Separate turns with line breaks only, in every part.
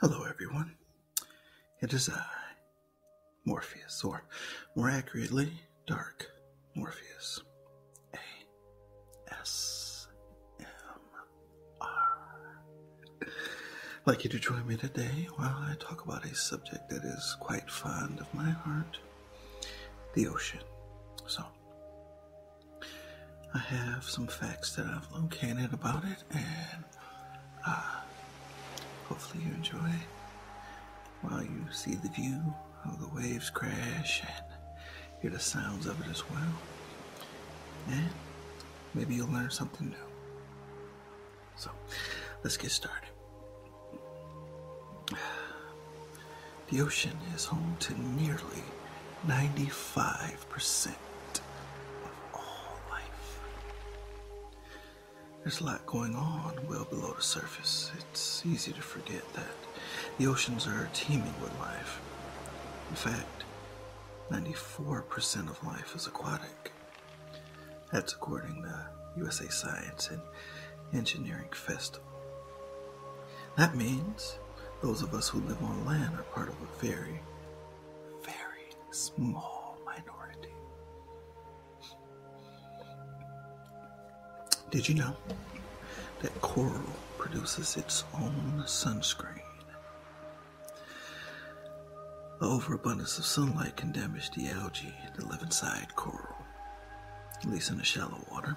Hello, everyone. It is I, Morpheus, or more accurately, Dark Morpheus. A S M R. Like you to join me today while I talk about a subject that is quite fond of my heart the ocean. So, I have some facts that I've located about it, and uh, hopefully, you enjoy while you see the view of the waves crash and hear the sounds of it as well. And maybe you'll learn something new. So, let's get started. The ocean is home to nearly 95% of all life. There's a lot going on well below the surface. It's easy to forget that the oceans are teeming with life. In fact, 94% of life is aquatic. That's according to USA Science and Engineering Festival. That means those of us who live on land are part of a very, very small minority. Did you know that coral produces its own sunscreen? The overabundance of sunlight can damage the algae that live inside coral at least in the shallow water,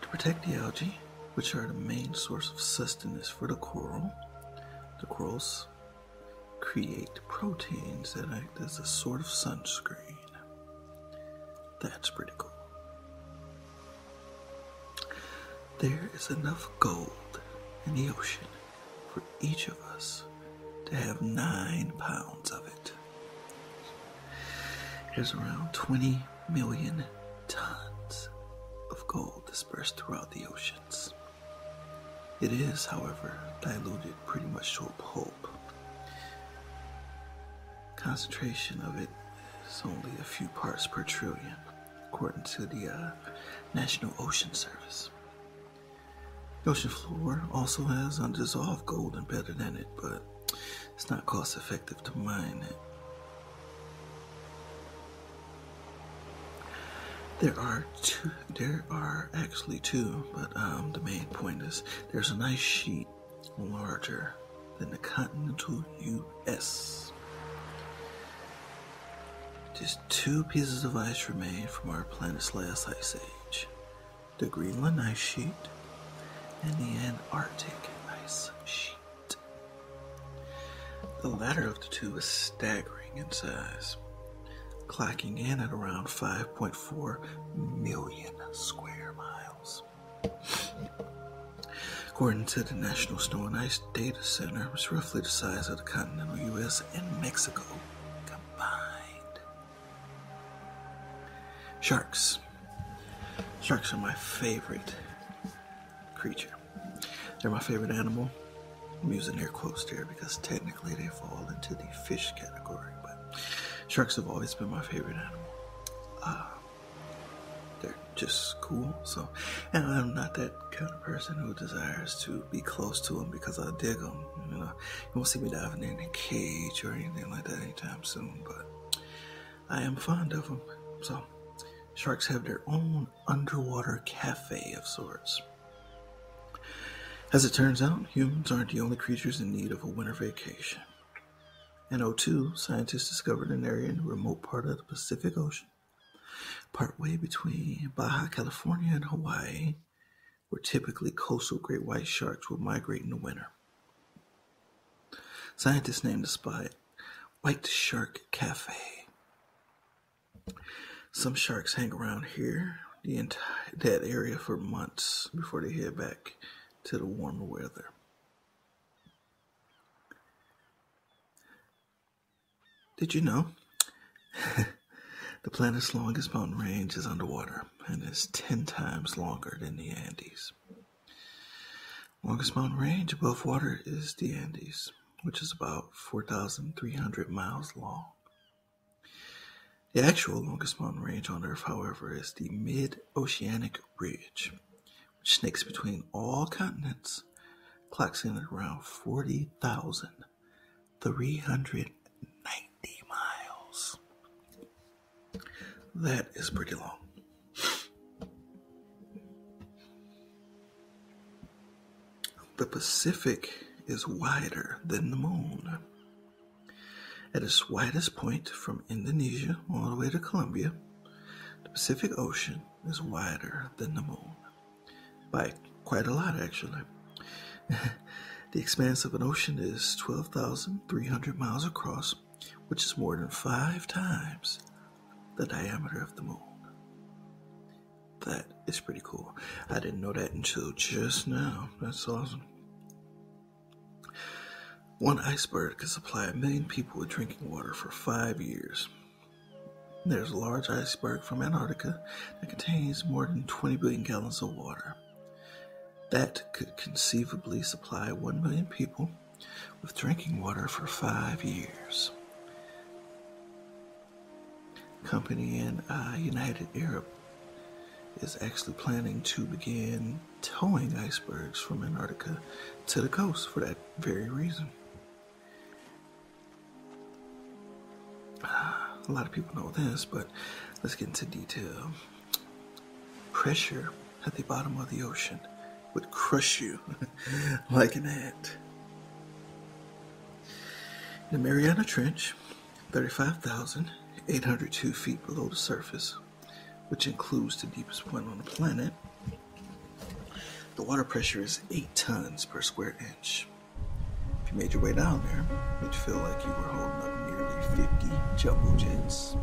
to protect the algae, which are the main source of sustenance for the coral. The corals create proteins that act as a sort of sunscreen. That's pretty cool. There is enough gold in the ocean for each of us to have nine pounds of it. There's around 20 million tons of gold dispersed throughout the oceans. It is, however, diluted pretty much to a pulp. Concentration of it is only a few parts per trillion, according to the uh, National Ocean Service. Ocean floor also has undissolved gold embedded in it, but it's not cost effective to mine it. There are two. There are actually two, but um, the main point is there's an ice sheet larger than the continental U.S. Just two pieces of ice remain from our planet's last ice age the Greenland ice sheet, and the Antarctic ice sheet. The latter of the two is staggering in size, clocking in at around 5.4 million square miles. According to the National Snow and Ice Data Center, it's roughly the size of the continental U.S. and Mexico combined. Sharks. Sharks are my favorite creature. They're my favorite animal. I'm using air quotes here because technically they fall into the fish category, but sharks have always been my favorite animal. Uh, they're just cool, so, and I'm not that kind of person who desires to be close to them because I dig them. You won't see me diving in a cage or anything like that anytime soon, but I am fond of them. So, sharks have their own underwater cafe of sorts. As it turns out, humans aren't the only creatures in need of a winter vacation. In 02, scientists discovered an area in a remote part of the Pacific Ocean, partway between Baja California and Hawaii, where typically coastal great white sharks will migrate in the winter. Scientists named the spot White Shark Cafe. Some sharks hang around here, the entire that area for months before they head back to the warmer weather. Did you know the planet's longest mountain range is underwater? and is 10 times longer than the Andes. Longest mountain range above water is the Andes, which is about 4,300 miles long. The actual longest mountain range on Earth, however, is the Mid Oceanic Ridge, which snakes between all continents, clocks at around 40,390 miles. That is pretty long. The Pacific is wider than the moon. At its widest point, from Indonesia all the way to Colombia, the Pacific Ocean is wider than the moon by quite a lot, actually. the expanse of an ocean is 12,300 miles across, which is more than five times the diameter of the moon. That is pretty cool. I didn't know that until just now. That's awesome. One iceberg can supply a million people with drinking water for five years. There's a large iceberg from Antarctica that contains more than 20 billion gallons of water that could conceivably supply 1 million people with drinking water for five years. Company in uh, United Arab is actually planning to begin towing icebergs from Antarctica to the coast for that very reason. Ah, a lot of people know this, but let's get into detail. Pressure at the bottom of the ocean would crush you like an ant. In the Mariana Trench, 35,802 feet below the surface, which includes the deepest point on the planet, the water pressure is 8 tons per square inch. If you made your way down there, it'd feel like you were holding up nearly 50 jumbo jets.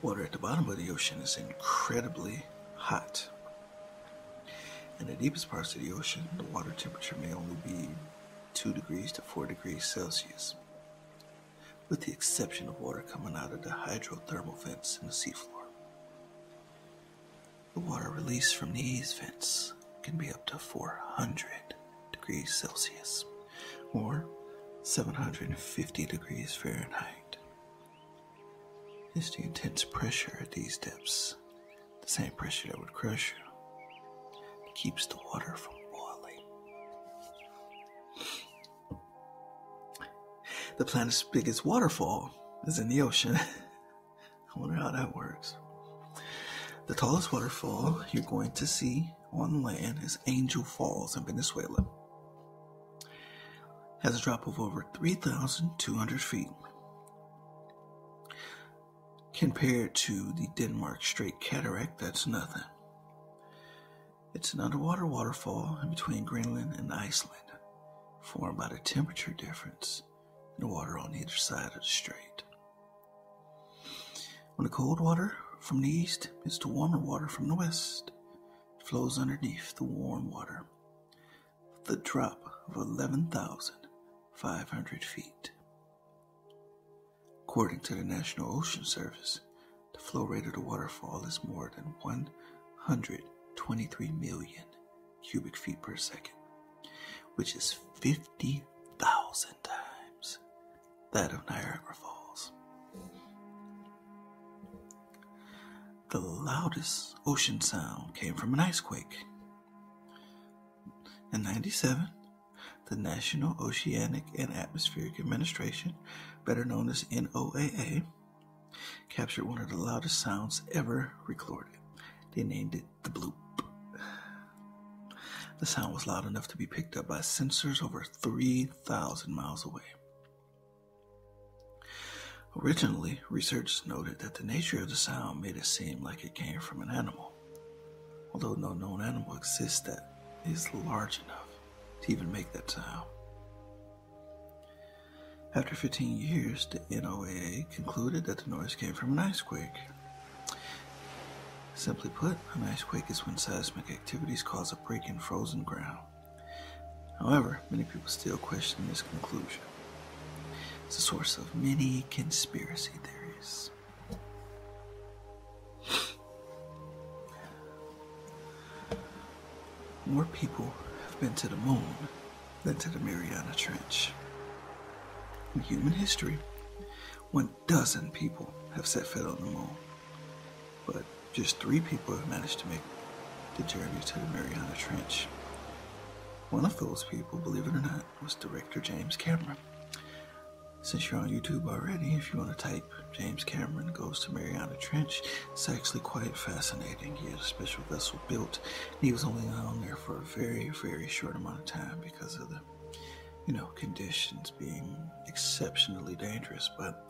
Water at the bottom of the ocean is incredibly hot. In the deepest parts of the ocean, the water temperature may only be 2 degrees to 4 degrees Celsius, with the exception of water coming out of the hydrothermal vents in the seafloor. The water released from these vents can be up to 400 degrees Celsius or 750 degrees Fahrenheit. It's the intense pressure at these depths, the same pressure that would crush you, keeps the water from boiling. The planet's biggest waterfall is in the ocean. I wonder how that works. The tallest waterfall you're going to see on land is Angel Falls in Venezuela. Has a drop of over 3,200 feet. Compared to the Denmark Strait Cataract, that's nothing. It's an underwater waterfall in between Greenland and Iceland, formed by the temperature difference in the water on either side of the strait. When the cold water from the east meets the warmer water from the west, it flows underneath the warm water with a drop of 11,500 feet. According to the National Ocean Service, the flow rate of the waterfall is more than 123 million cubic feet per second, which is 50,000 times that of Niagara Falls. The loudest ocean sound came from an ice In 97, the National Oceanic and Atmospheric Administration, better known as NOAA, captured one of the loudest sounds ever recorded. They named it the bloop. The sound was loud enough to be picked up by sensors over 3,000 miles away. Originally, researchers noted that the nature of the sound made it seem like it came from an animal, although no known animal exists that is large enough to even make that sound. After 15 years, the NOAA concluded that the noise came from an ice Simply put, an ice quake is when seismic activities cause a break in frozen ground. However, many people still question this conclusion. It's a source of many conspiracy theories. More people have been to the moon than to the Mariana Trench. In human history, one dozen people have set foot on the moon, but just three people have managed to make the journey to the Mariana Trench. One of those people, believe it or not, was director James Cameron. Since you're on YouTube already, if you want to type James Cameron goes to Mariana Trench, it's actually quite fascinating. He had a special vessel built, he was only on there for a very, very short amount of time because of the you know, conditions being exceptionally dangerous, but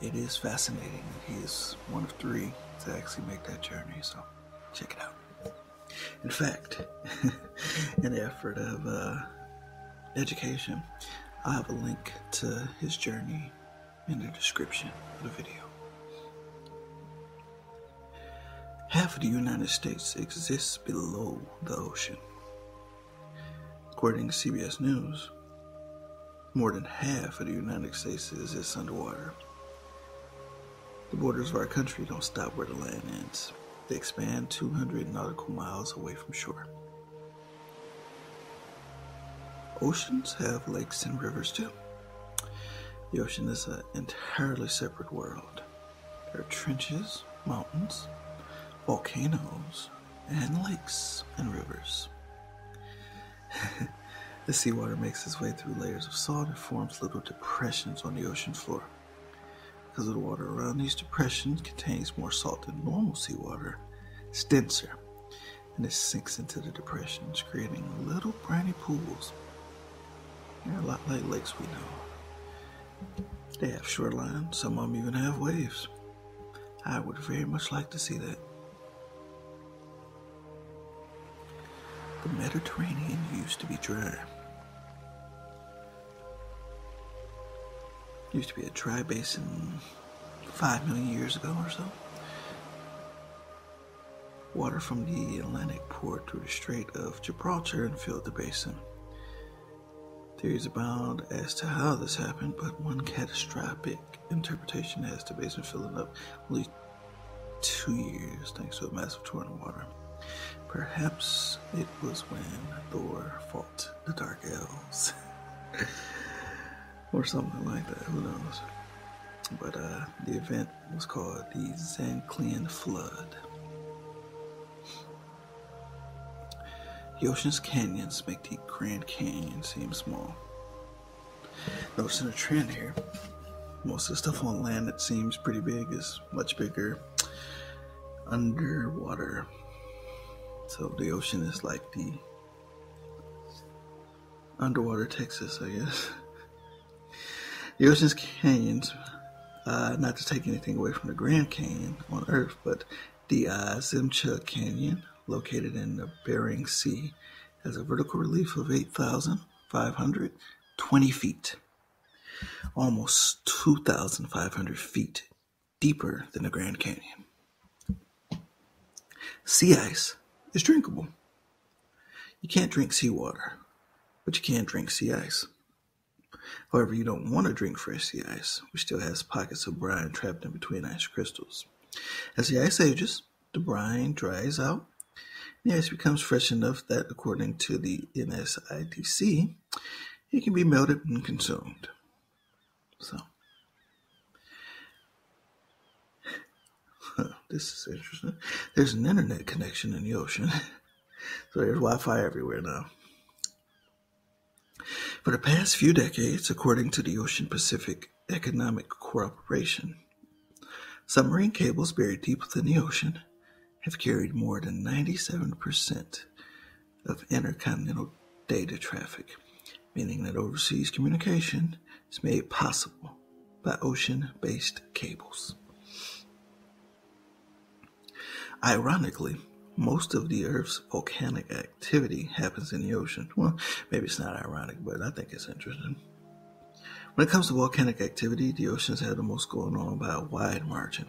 it is fascinating that he is one of three to actually make that journey. So check it out. In fact, in effort of uh, education, I have a link to his journey in the description of the video. Half of the United States exists below the ocean. According to CBS News, more than half of the United States exists underwater. The borders of our country don't stop where the land ends. They expand 200 nautical miles away from shore. Oceans have lakes and rivers too. The ocean is an entirely separate world. There are trenches, mountains, volcanoes, and lakes and rivers. the seawater makes its way through layers of salt and forms little depressions on the ocean floor. Because the water around these depressions contains more salt than normal seawater, it's denser, and it sinks into the depressions, creating little briny pools. They're a lot like lakes we know. They have shoreline, some of them even have waves. I would very much like to see that. The Mediterranean used to be dry. Used to be a dry basin five million years ago or so. Water from the Atlantic poured through the Strait of Gibraltar and filled the basin. Theories abound as to how this happened, but one catastrophic interpretation has the basin filling up at least two years thanks to a massive torrent of water. Perhaps it was when Thor fought the Dark Elves. or something like that, who knows. But uh, the event was called the Zanclean Flood. The ocean's canyons make the Grand Canyon seem small. Noticing a trend here. Most of the stuff on land that seems pretty big is much bigger underwater. So the ocean is like the underwater Texas, I guess. The ocean's canyons uh, not to take anything away from the Grand Canyon on Earth, but the uh, Zimcha Canyon, located in the Bering Sea, has a vertical relief of 8,520 feet, almost 2,500 feet deeper than the Grand Canyon. Sea ice is drinkable. You can't drink seawater, but you can drink sea ice. However, you don't want to drink fresh sea ice, which still has pockets of brine trapped in between ice crystals. As the ice ages, the brine dries out. And the ice becomes fresh enough that, according to the NSIDC, it can be melted and consumed. So, this is interesting. There's an internet connection in the ocean. So there's Wi Fi everywhere now. For the past few decades, according to the Ocean Pacific Economic Corporation, submarine cables buried deep within the ocean have carried more than 97% of intercontinental data traffic, meaning that overseas communication is made possible by ocean based cables. Ironically, most of the Earth's volcanic activity happens in the ocean. Well, maybe it's not ironic, but I think it's interesting. When it comes to volcanic activity, the oceans have the most going on by a wide margin.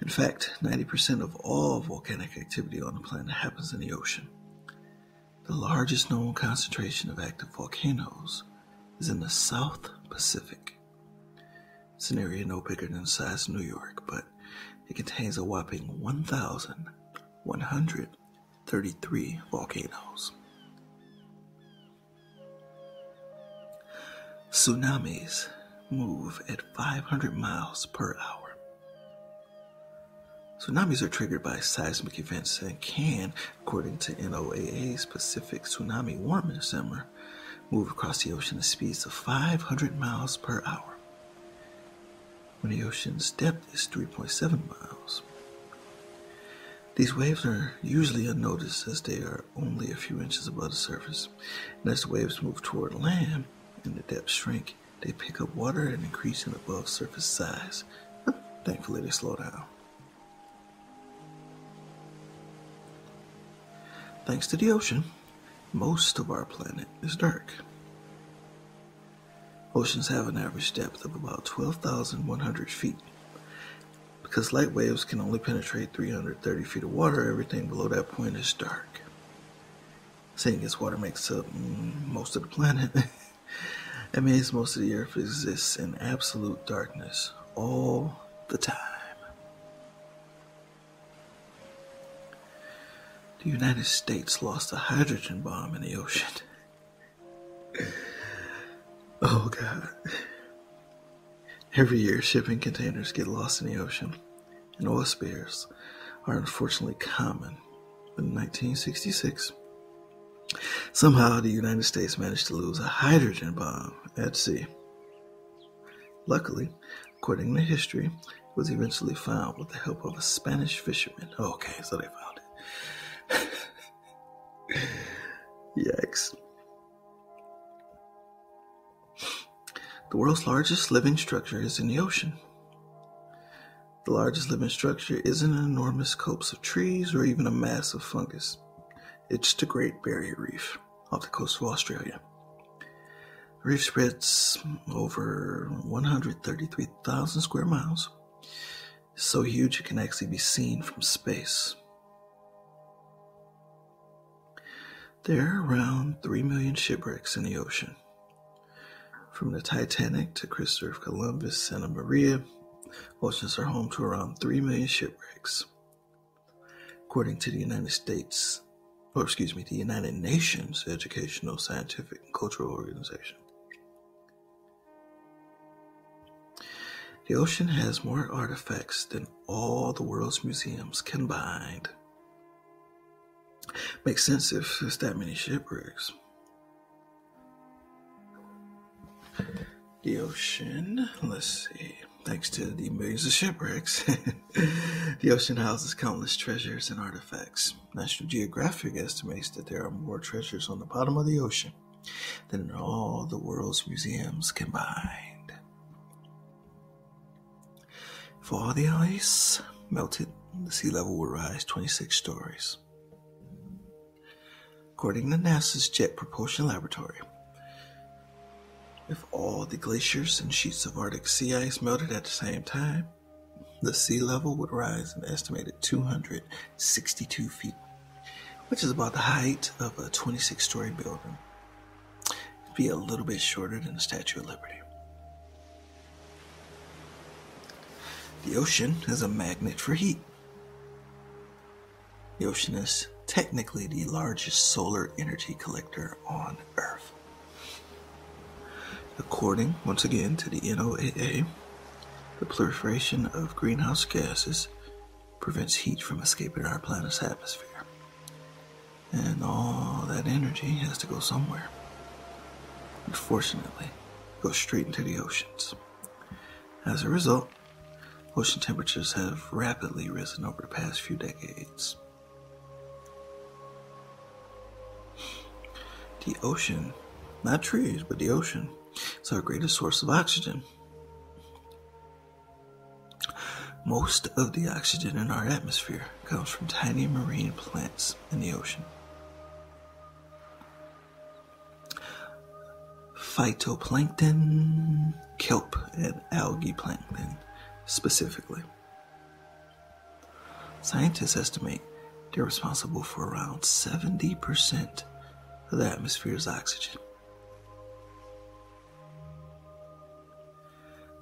In fact, 90% of all volcanic activity on the planet happens in the ocean. The largest known concentration of active volcanoes is in the South Pacific. It's an area no bigger than size New York, but it contains a whopping 1,133 volcanoes. Tsunamis move at 500 miles per hour. Tsunamis are triggered by seismic events and can, according to NOAA's Pacific Tsunami Warning Center, move across the ocean at speeds of 500 miles per hour. When the ocean's depth is 3.7 miles. These waves are usually unnoticed as they are only a few inches above the surface. as the waves move toward land and the depth shrink, they pick up water and increase in above surface size. Thankfully, they slow down. Thanks to the ocean, most of our planet is dark. Oceans have an average depth of about 12,100 feet. Because light waves can only penetrate 330 feet of water, everything below that point is dark. Seeing as water makes up mm, most of the planet, it means most of the Earth exists in absolute darkness all the time. The United States lost a hydrogen bomb in the ocean. oh god. Every year, shipping containers get lost in the ocean, and oil spills are unfortunately common. But in 1966, somehow the United States managed to lose a hydrogen bomb at sea. Luckily, According to history, was eventually found with the help of a Spanish fisherman. Okay, so they found it. Yikes. The world's largest living structure is in the ocean. The largest living structure isn't an enormous copse of trees or even a mass of fungus. It's the Great Barrier Reef off the coast of Australia. The reef spreads over 133,000 square miles. It's so huge it can actually be seen from space. There are around 3 million shipwrecks in the ocean. From the Titanic to Christopher Columbus, Santa Maria, oceans are home to around 3 million shipwrecks. According to the United States, or excuse me, the United Nations Educational, Scientific, and Cultural Organization, the ocean has more artifacts than all the world's museums combined. Makes sense if there's that many shipwrecks. The ocean, let's see. Thanks to the millions of shipwrecks, the ocean houses countless treasures and artifacts. National Geographic estimates that there are more treasures on the bottom of the ocean than in all the world's museums combined. If all the ice melted, the sea level would rise 26 stories. According to NASA's Jet Propulsion Laboratory, if all the glaciers and sheets of Arctic sea ice melted at the same time, the sea level would rise an estimated 262 feet, which is about the height of a 26 story building. It'd be a little bit shorter than the Statue of Liberty. The ocean is a magnet for heat. The ocean is technically the largest solar energy collector on According, once again, to the NOAA, the proliferation of greenhouse gases prevents heat from escaping our planet's atmosphere. And all that energy has to go somewhere. Unfortunately, it goes straight into the oceans. As a result, ocean temperatures have rapidly risen over the past few decades. The ocean, not trees, but the ocean, its our greatest source of oxygen. Most of the oxygen in our atmosphere comes from tiny marine plants in the ocean. Phytoplankton kelp and algae plankton specifically. Scientists estimate they're responsible for around 70% of the atmosphere's oxygen.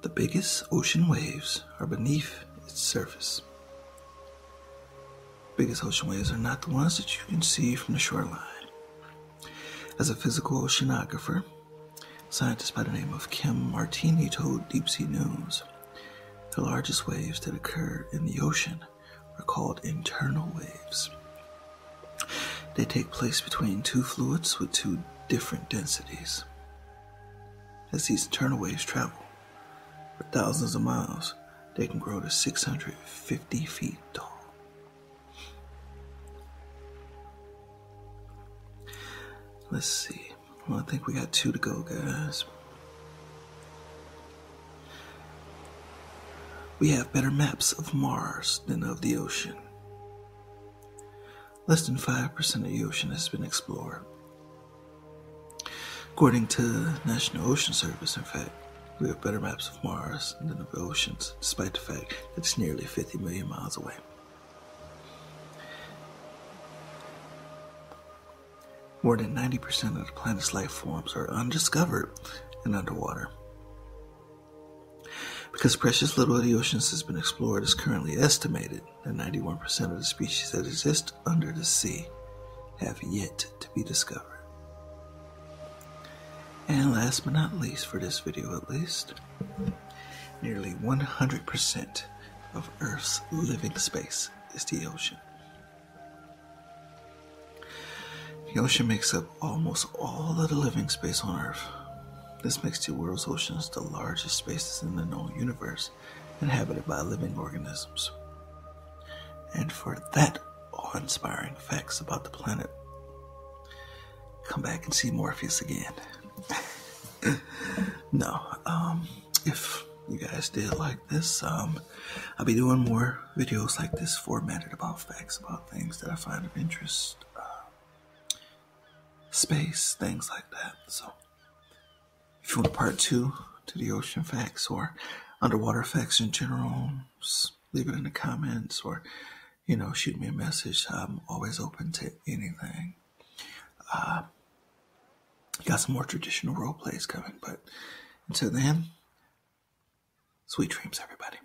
The biggest ocean waves are beneath its surface. biggest ocean waves are not the ones that you can see from the shoreline. As a physical oceanographer, Scientists by the name of Kim Martini told Deep Sea News the largest waves that occur in the ocean are called internal waves. They take place between two fluids with two different densities. As these internal waves travel for thousands of miles, they can grow to 650 feet tall. Let's see. I think we got two to go, guys. We have better maps of Mars than of the ocean. Less than 5% of the ocean has been explored. According to the National Ocean Service, in fact, we have better maps of Mars than of oceans, despite the fact that it's nearly 50 million miles away. More than 90% of the planet's life forms are undiscovered and underwater. Because precious little of the oceans has been explored, it's currently estimated that 91% of the species that exist under the sea have yet to be discovered. And last but not least, for this video at least, Nearly 100% of Earth's living space is the ocean. The ocean makes up almost all of the living space on Earth. This makes the world's oceans the largest spaces in the known universe inhabited by living organisms. And for that awe inspiring facts about the planet, come back and see Morpheus again. no, um, if you guys did like this, um, I'll be doing more videos like this, formatted about facts, about things that I find of interest, uh, space, things like that. So, if you want a part two to the ocean facts or underwater facts in general, leave it in the comments or you know, shoot me a message. I'm always open to anything. Uh, got some more traditional role plays coming, but until then, sweet dreams, everybody.